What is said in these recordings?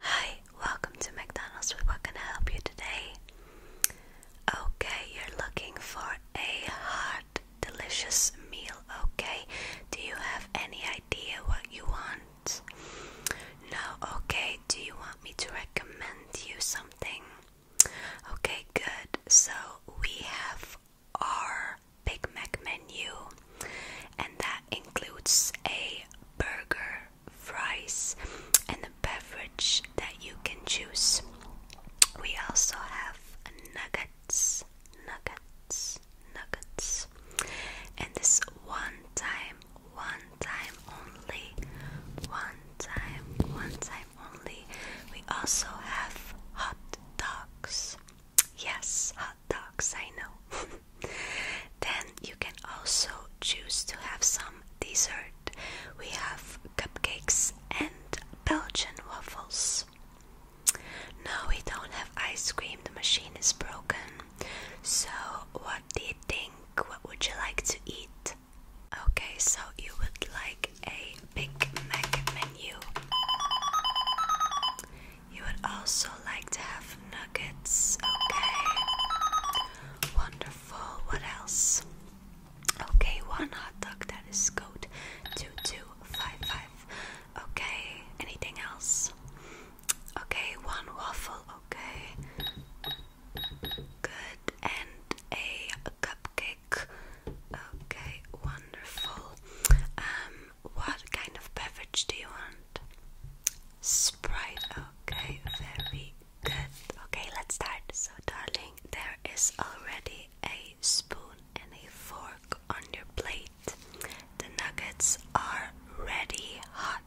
Hi, welcome to McDonald's with what can I help you today? Okay, you're looking for a hot, delicious meal, okay? Do you have any idea what you want? No, okay, do you want me to recommend you something? Okay, good. So we have our Big Mac menu and that includes a burger, fries, and a beverage that you can choose. We also have nuggets, nuggets, nuggets, and this one time, one time only, one time, one time only. We also have hot dogs. Yes, dogs, I know. then you can also choose to have some dessert. We have cupcakes and Belgian waffles. No, we don't have ice cream, the machine is broken. So, what do you think? What would you like to eat? Okay, so you would like a Big Mac menu. You would also like to have nuggets, okay? Wonderful. What else? Okay, one hot dog that is code 2255. Okay, anything else? Okay, one waffle, okay. Good, and a, cupcake. Okay, wonderful. Um, what kind of beverage do you want? Sprite, okay, very good. Okay, let's start. So, darling, there is already a spoon and a fork on your plate. The nuggets are ready, hot,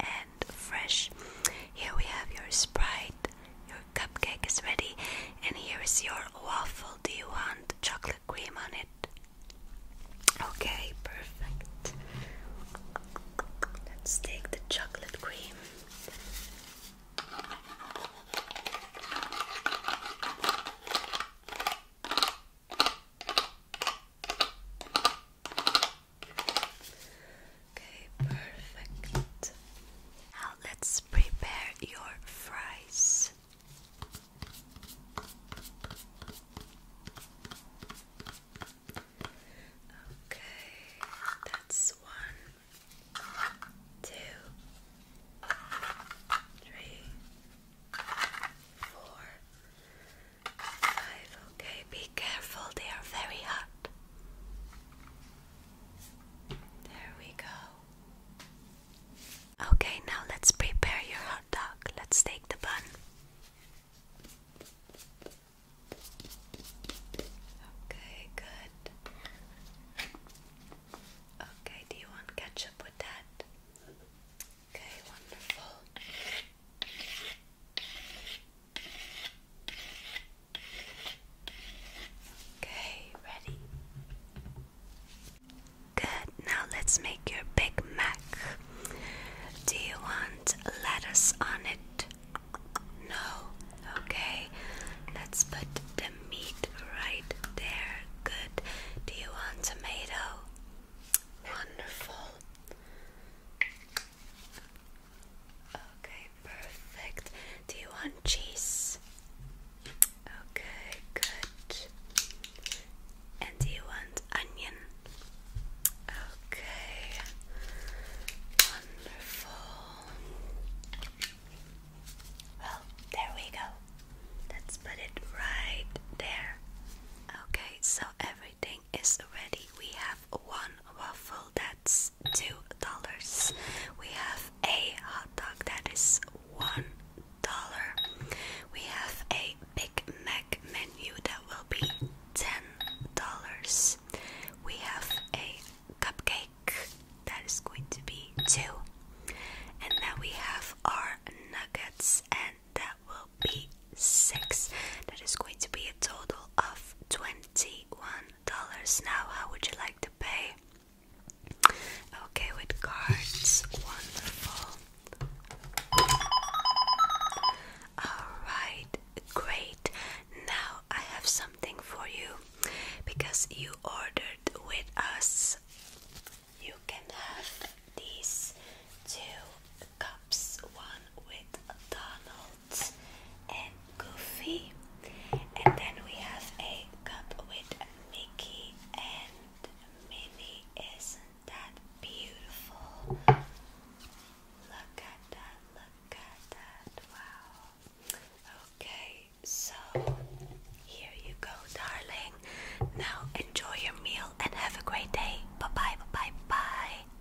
and fresh. Here we have your sprite, your cupcake is ready, and here is your waffle. Do you want chocolate cream on it? Okay, perfect. Let's take the chocolate cream. Okay, perfect. Now let's prepare your fries. Okay, that's one, two, three, four, five. Okay, be careful, they are very hot. There we go. Okay, now let's prepare your hot dog. Let's take the bun. Okay, good. Okay, do you want ketchup with that? Okay, wonderful. Okay, ready? Good, now let's make your Big Mac. Do you want lettuce on it? No. Okay, let's put the meat right there. Good. Do you want tomato? Wonderful. Okay, Perfect. Do you want cheese? Okay, good. And do you want onion? Okay. Wonderful. Well, there we go. Let's put it right there. Okay, so everything is ready. We have one waffle that's two dollars. We have a hot dog that is one dollar. We have a Big Mac menu that will be ten dollars. We have a cupcake that is going to be two. And then we have our nuggets and that will be six. That is going to be a total of 21 dollars now. How would you like to pay? Okay, with cards. Wonderful. Alright, great. Now I have something for you because you ordered with us. You can have these two cups one with Donald and Goofy. And then we have a cup with Mickey and Minnie. Isn't that beautiful? Look at that, look at that. Wow. Okay, so here you go, darling. Now enjoy your meal and have a great day. bye, bye bye, bye.